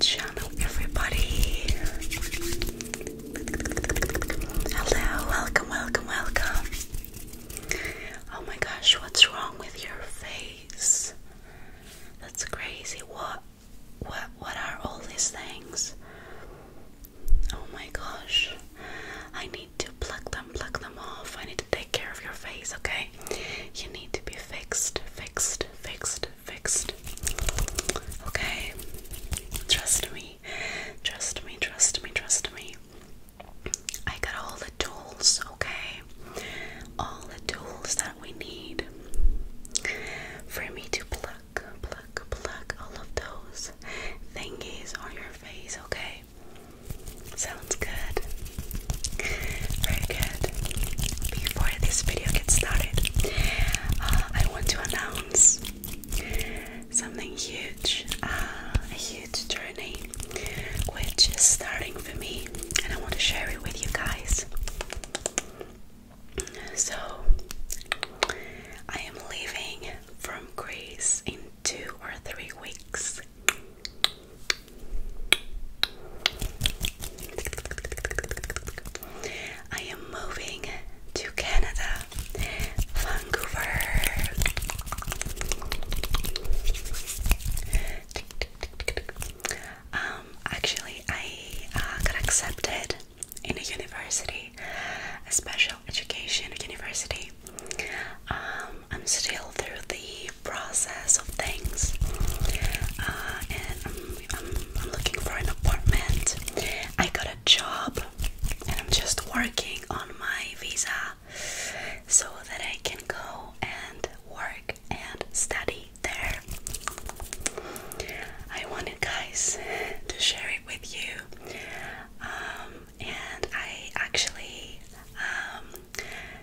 channel, everybody. Hello, welcome, welcome, welcome. Oh my gosh, what's wrong with your face? That's crazy. What what what are all these things? Oh my gosh. I need to pluck them, pluck them off. I need to take care of your face, okay? You need to be fixed, fixed, fixed, fixed. Okay? Trust me. Trust me, trust me, trust me. I got all the tools, okay? All the tools that we need for me to pluck, pluck, pluck all of those thingies on your face, okay? Sounds good. Very good. Before before this video gets started, uh, I want to announce something huge, uh, a huge journey, which is starting for me, and I want to share it with you guys. So, I am leaving from Greece in two or three weeks. I am moving to Canada, Vancouver. Um, actually, I uh, got accepted in a university, a special education university. Um, I'm still through the process of things, uh, I'm, looking for an apartment. I got a job and I'm just working on my visa so that I can go and work and study there. I wanted guys to share it with you. Um, and I actually um,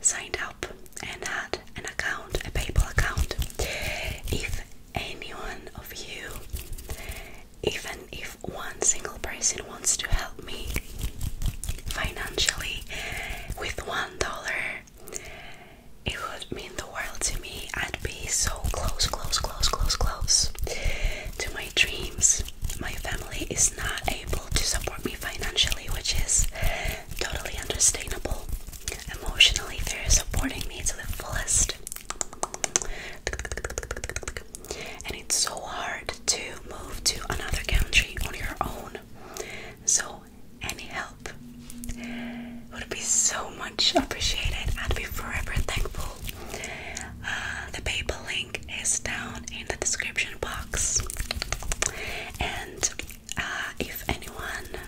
signed up and had an account, a PayPal account. If anyone of you, even if one single person wants to help me financially with one dollar, it would mean the world to me. and be so close, close, close, close, close to my dreams. My family is not able to support me financially, which is totally understandable emotionally they're supporting me to the fullest and it's so hard to move to another country on your own so any help would be so much appreciated i'd be forever thankful uh, the paypal link is down in the description box and uh, if anyone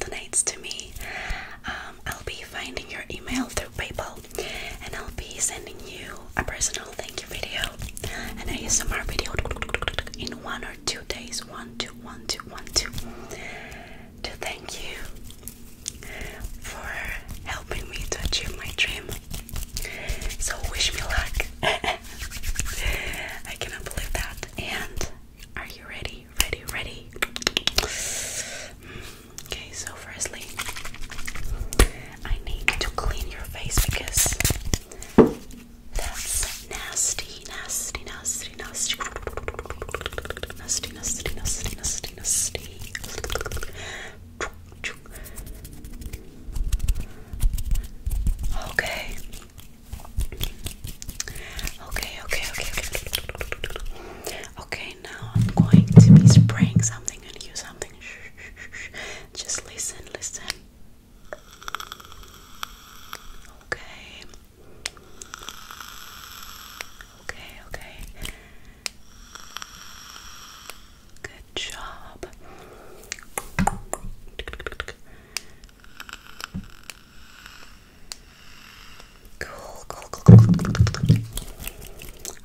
donates to me, um, I'll be finding your email through PayPal and I'll be sending you a personal thank you video and ASMR video in one or two days. One, two, one, two, one, two. To thank you for helping me to achieve my dream. So, wish me luck. I cannot believe that. And are you ready? Ready, ready? Okay, so firstly, I need to clean your face because that's nasty, nasty, nasty, nasty. Nasty, nasty, nasty, nasty, nasty. Okay, Okay, okay, okay, okay. Okay, now I'm going to be spraying something on you something. Just listen, listen. Okay. Okay, okay. Good job. Cool, cool, cool, cool.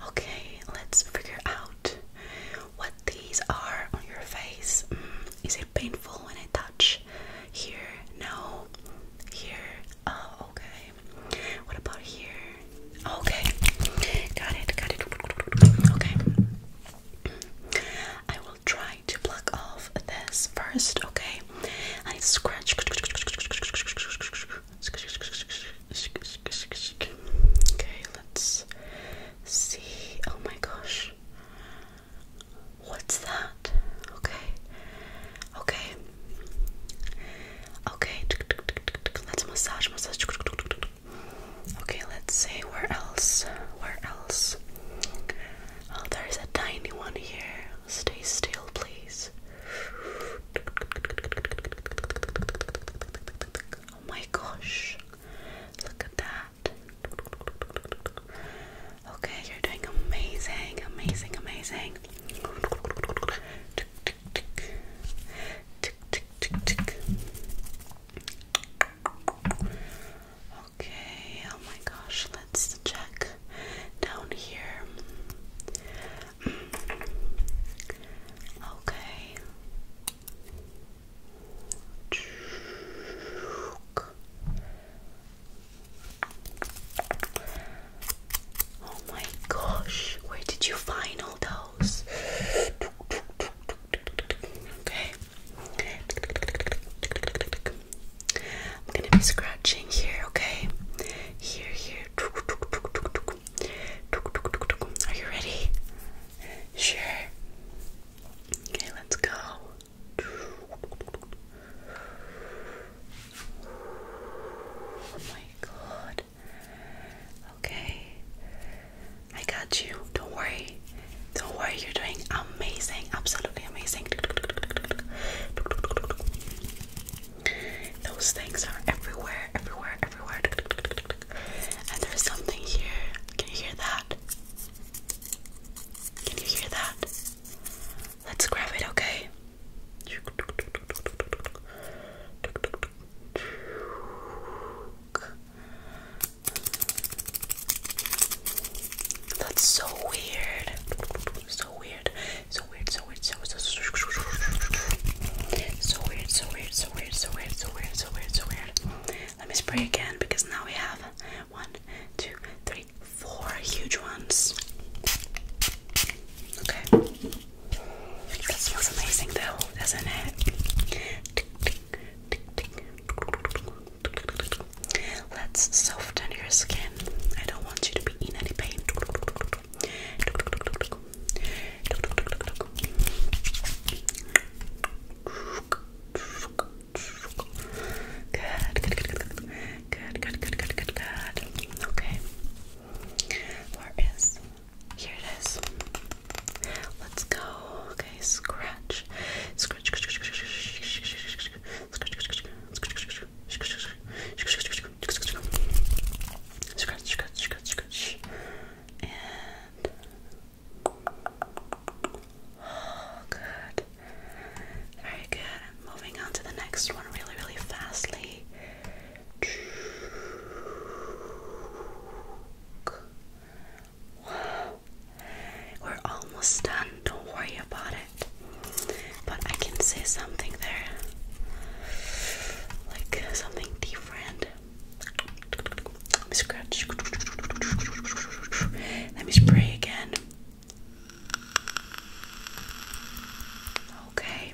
Okay, let's figure out what these are on your face. Mm, is it painful when I touch here? No. Here? Oh, okay. What about here? Okay. Got it, got it. Okay. I will try to pluck off this first, okay? I scratch. Okay, let's see. Oh my gosh. What's that? Okay. Okay. Okay. Let's massage, massage. Okay, let's see where else? Where else? Oh, there's a tiny one here. Stay still, please. Oh my gosh. Look at that. Okay, you're doing amazing, amazing, amazing. Okay, oh my gosh, let's check down here. Okay. Oh my gosh, where did you find all those? Okay. I'm gonna be scratching here, okay? Here, here. Are you ready? Sure. Okay, let's go. Oh my god. Okay. I got you. Don't worry. Don't worry. You're doing amazing. Absolutely amazing. Those things are everywhere, everywhere, everywhere. And there's something here. Can you hear that? Can you hear that? Let's grab it, okay? That's so weird. So weird. So weird. So weird. So so so so weird. So weird. So weird. So weird. So weird. So weird. So weird. Let me spray again because now we have one, two, three, four huge ones. Okay. That smells amazing though, doesn't it? Let's soften your skin. I don't want you to be in any pain. Good, good, good, good, good, good, good, Okay. Where is here it is. Let's go. Okay, scratch. Scratch. Scratch, scratch, scratch, scratch. And oh, good. Very good. Moving on to the next one really, really fastly. We're almost done. Don't worry about it. But I can say something there. Like something different. Let me scratch. Let me spray again. Okay.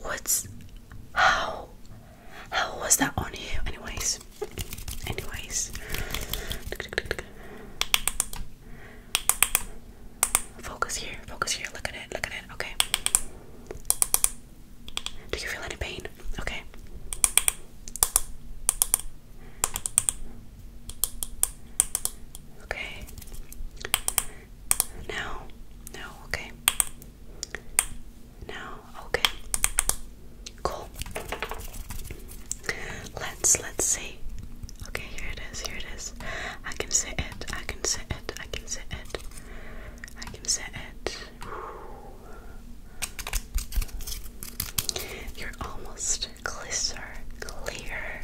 What's how? How was that on you? Anyways, anyways, focus here, focus here. Look at it, look at it. Okay. Do you feel any pain? Okay. Okay. Now, now, okay. Now, okay. Cool. Let's let's see. Okay, here it is. Here it is. I can sit it. I can sit it. I can sit it. I can sit it. You're almost closer, clear.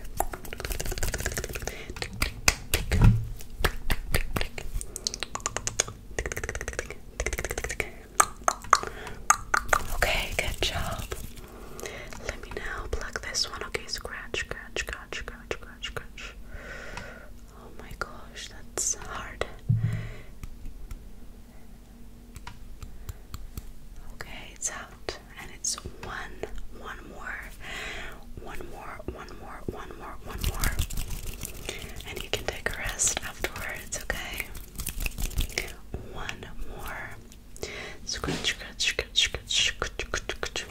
Okay, good job. Let me now plug this one. Okay, scratch, scratch, scratch, scratch, scratch, scratch. Oh my gosh, that's hard. Okay, it's out and it's one one more one more one more one more one more and you can take a rest afterwards okay one more scratch scratch scratch scratch, scratch.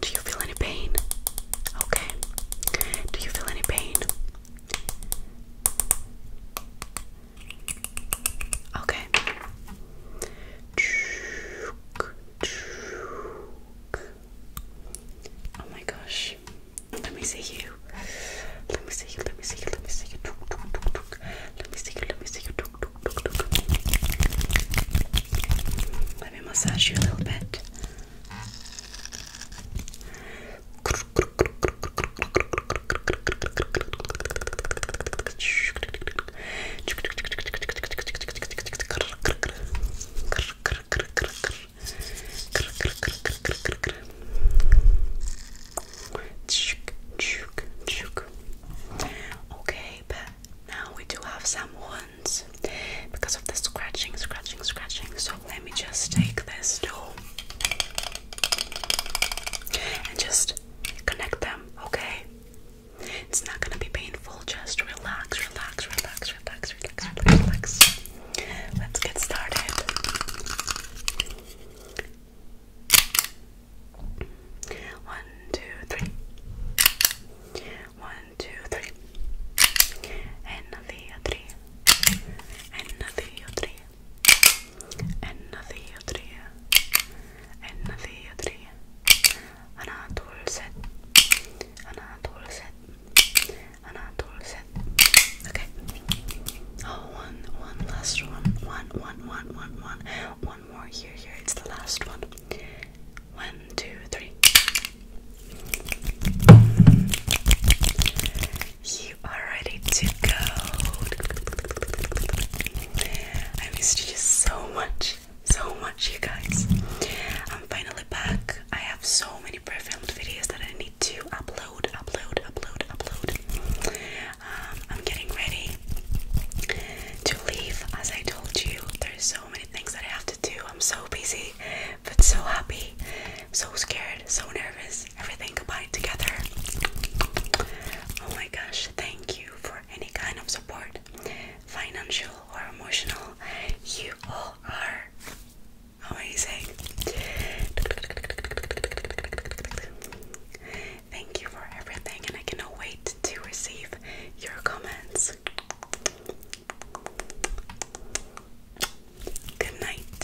do you feel any pain okay do you feel any pain Okay. Oh my gosh. Let me see you. Let me see you. Let me see you. Let me see you. Let me see you. Let me see you. Let me massage you a little bit. Okay, but now we do have some wounds because of the scratching, scratching, scratching. So let me just take this tool and just connect them, okay? It's not gonna be painful, just relax, relax, relax, relax, relax, relax, relax. Let's get started. One, two, three. One, two, three. And the three. And the three. أن ثياترية أن ثياترية أنا هطول ست أنا هطول ست أنا هطول ست okay oh one one last one one one one one one one more here here it's the last one one two three you are ready to go. I missed you so much, so much, you guys. I'm finally back. I have so many pre-filmed videos that I need to upload, upload, upload, upload. Um, I'm getting ready to leave. As I told you, there's so many things that I have to do. I'm so busy, but so happy, so scared, so nervous everything combined together. Oh my gosh, thank you for any kind of support, financial or emotional. You all are amazing. Thank you for everything, and I cannot wait to receive your comments. Good night.